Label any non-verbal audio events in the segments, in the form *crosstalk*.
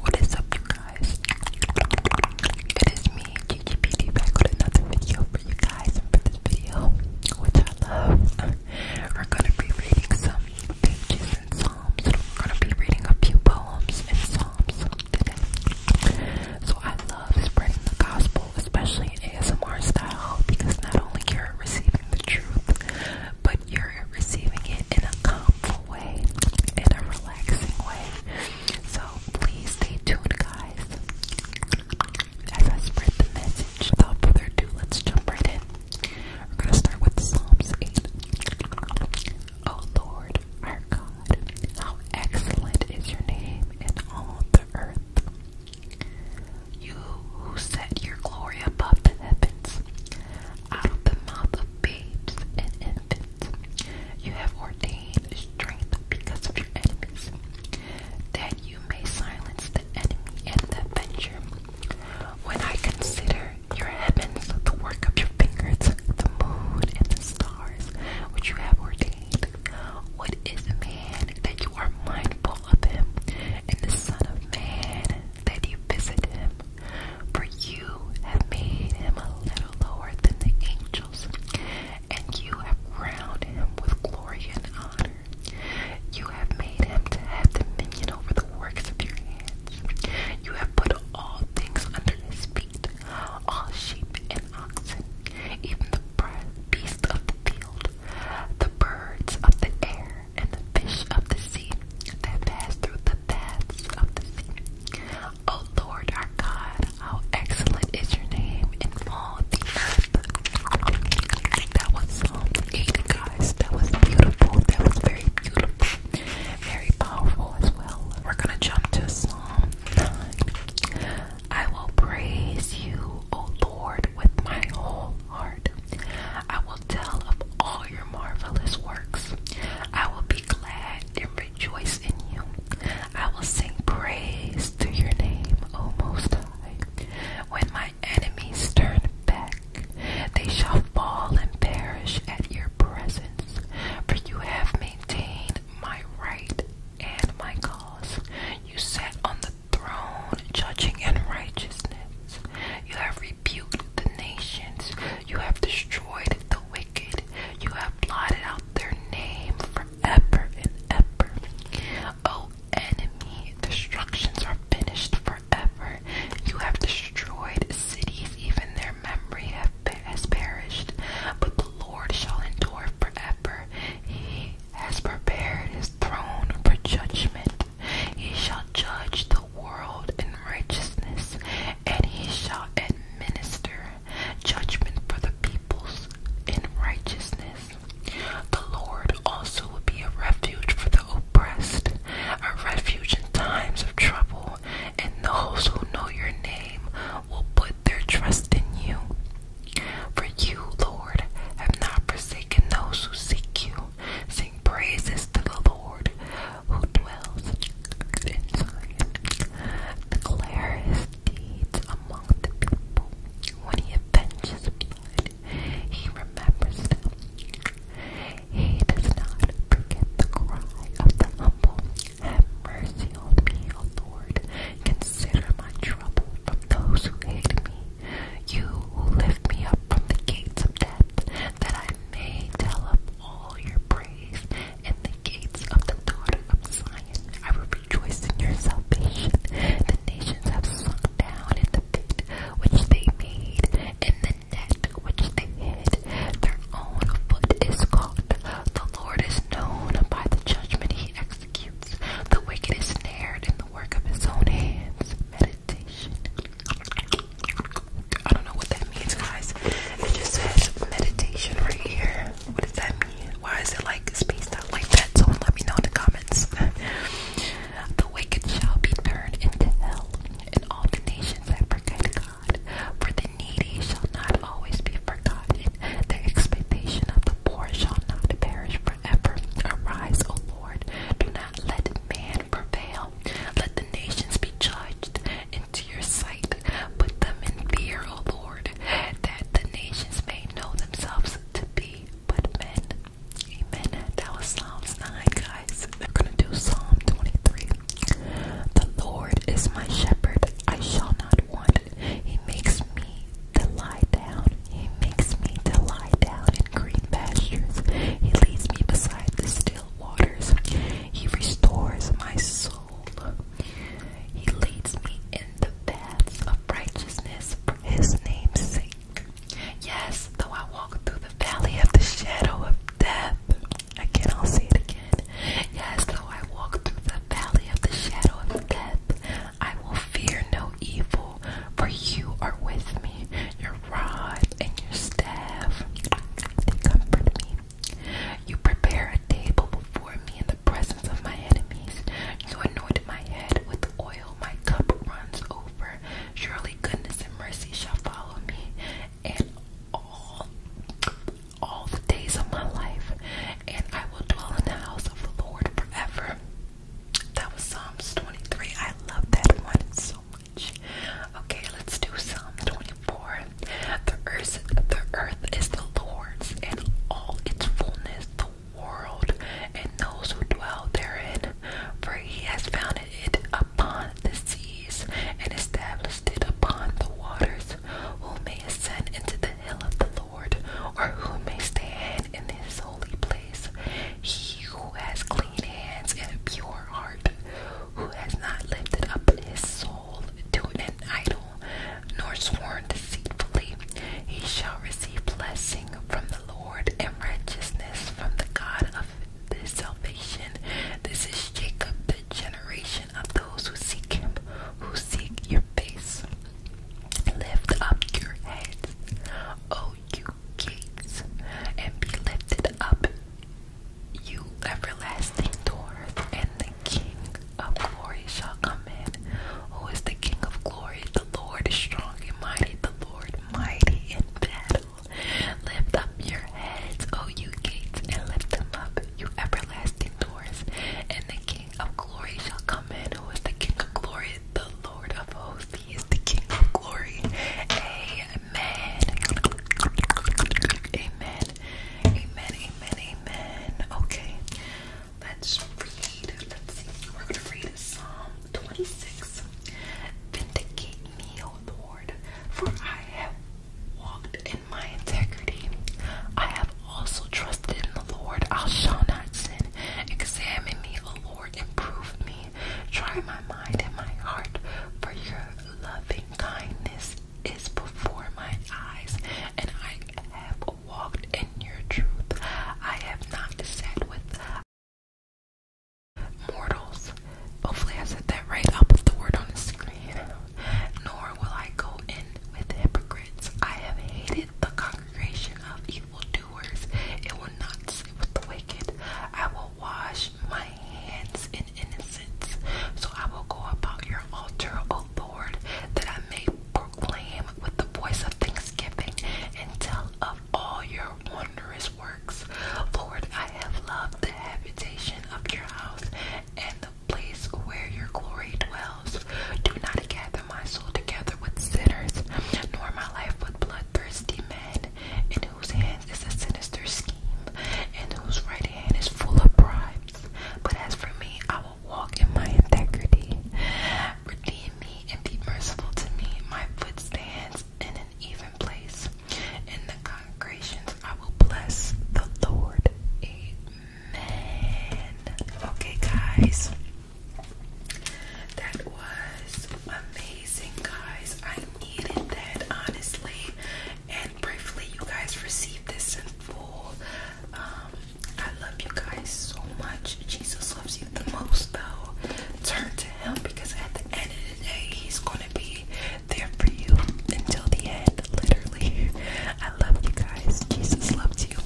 What is up, you guys? It is me, GGPD, back with another video for you guys. And for this video, which I love, are gonna be reading some pages and psalms. We're gonna be reading a few poems and psalms today. So I love spreading the gospel, especially in ASMR style, because not only you're receiving the truth, but you're receiving it in a calm in a relaxing way. So please stay tuned, guys. As I spread the message, without further ado, let's jump right in. We're gonna start with Psalms 8. Oh Lord, our God, how excellent is your name in all the earth. You who set your glory above the heavens, out of the mouth of babes and infants. You have ordained strength because of your enemies, that you may silence the enemy and the avenger. When I consider your heavens, the work of your fingers, the moon and the stars which you have ordained, what is man that you are mindful of him, and the Son of Man that you visit him? For you have made him a little lower than the angels, and you have crowned him with glory and honor. You have made him to have dominion over the works of your hands. You have put all things under his feet, all sheep and oxen, even the beasts of the field, the birds of the air, and the fish of the sea that pass through the the of the sea. O Lord our God, how excellent is your name in all the earth. That was Psalm 8, guys. That was beautiful. That was very beautiful. Very powerful as well. We're gonna jump to a song. I will praise you, O Lord, with my whole heart. I will tell of all your marvelous works. I will be glad rejoice in you. I will sing praise to your name, O Most High. When my enemies turn back, they shall fall and perish at your presence. For you have maintained my right and my cause. You sat on the throne, judging in righteousness. You have rebuked the nations. You have destroyed the wicked wicked. You have blotted out their name forever and ever. O enemy, destructions are finished forever. You have destroyed cities, even their memory has perished. But the Lord shall endure forever. He has prepared his throne for judgment. He shall judge the world in righteousness, and he shall administer judgment for the peoples in righteousness. The Lord also will be a refuge for the oppressed, a refuge in times of trouble, and those who know your name will put their trust in you. For you, Lord, have not forsaken those who seek you. Sing praises to the Lord, who dwells in Zion, declare his deeds among the people. When he avenges blood, he remembers them. He does not forget the cry of the humble. Have mercy on me, O Lord. Consider my trouble from those who hate me. You who lift me up from the gates of death, that I may tell of all your praise and the gates of the daughter of Zion. I will rejoice in your salvation. The nations have sunk down in the pit which they made, in the net which they hid. Their own foot is caught. The Lord is known by the judgment he executes. The wicked is snared in the work of his own hands. Meditation. I don't know what that means, guys. It just says meditation right here. What does that mean? Why is it like spaced out like that? Someone let me know in the comments. *laughs* the wicked shall be turned into hell, and all the nations that forget God. For the needy shall not always be forgotten. The expectation of the poor shall not perish forever. Arise, O Lord. Do not let man prevail. Let the nations be judged. Into your sight Put them in fear, O Lord, that the nations may know themselves to be but men. Amen. That was Psalms 9, guys. We're going to do Psalm 23. The Lord is my shepherd, I shall not want. He makes me to lie down. He makes me to lie down in green pastures. He leads me beside the still waters. He restores my soul. He leads me in the paths of righteousness for his name's Yes, though I walk through the valley of the shadow of death. Again, i all say it again. Yes, though I walk through the valley of the shadow of death, I will fear no evil, for you are with me. Your rod and your staff, they comfort me. You prepare a table before me in the presence of my enemies. You anoint my head with oil, my cup runs over. Surely goodness and mercy shall follow me, and all all the days of my life, and I will dwell in the house of the Lord forever. That was Psalms 23. I love that one so much. Okay, let's do Psalm 24. The earth, the earth is the Lord's and all its fullness, the world and those who dwell therein. For he has founded it upon the seas and established it upon the waters. Who may ascend into the hill of the Lord, or who may stand in his holy place? He who has clean hands and a pure heart, who has not lifted up his soul to an idol, nor sworn deceitfully, he shall receive blessing from the Lord and righteousness from the God of his salvation. This is Jacob, the generation of those who seek him, who seek your face. Lift up your heads, O you gates, and be lifted up, you everlasting doors, and the King of glory shall come in. Who is the King of glory? The Lord is strong and mighty, the Lord mighty in battle. Lift up your heads, O you gates, and lift them up, you everlasting doors, and the King of glory shall come in. Who is the King of glory? The Lord of hosts, he is the King of glory. Amen. Amen. Amen, amen, amen. Okay, let's read. Let's see. We're going to read Psalm 26. Vindicate me, O Lord, for I have walked in my integrity. I have also trusted in the Lord. I shall not sin. Examine me, O Lord, and prove me. Try my mind and my heart, for your loving kindness is before my eyes, and I have walked in your truth. I have not sat with mortals. Hopefully, I said that right. I'll put the word on the screen. Nor will I go in with hypocrites. I have hated the congregation of evildoers. It will not sit with the wicked. I will wash my hands and innocence. So I will go about your altar, O Lord, that I may proclaim with the voice of thanksgiving and tell of all your wondrous works. Lord, I have loved the habitation of your house and the place where your glory dwells. Do not gather my soul together with sinners, nor my life with bloodthirsty men, in whose hands is a sinister scheme, and whose right hand is full of pride. But as for me, I will walk in my integrity. Redeem me and be merciful to me. My foot stands in an even place. In the congregations, I will bless the Lord. Amen. Okay, guys. That was amazing, guys. I needed that, honestly and briefly you guys received this in full. Um, I love you guys so much. Jesus loves you the most though. Turn to him because at the end of the day he's gonna be there for you until the end, literally. *laughs* I love you guys. Jesus loves you.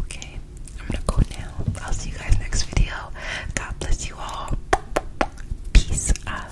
Okay, I'm gonna go now. I'll see you guys next video. God bless you all. Peace out.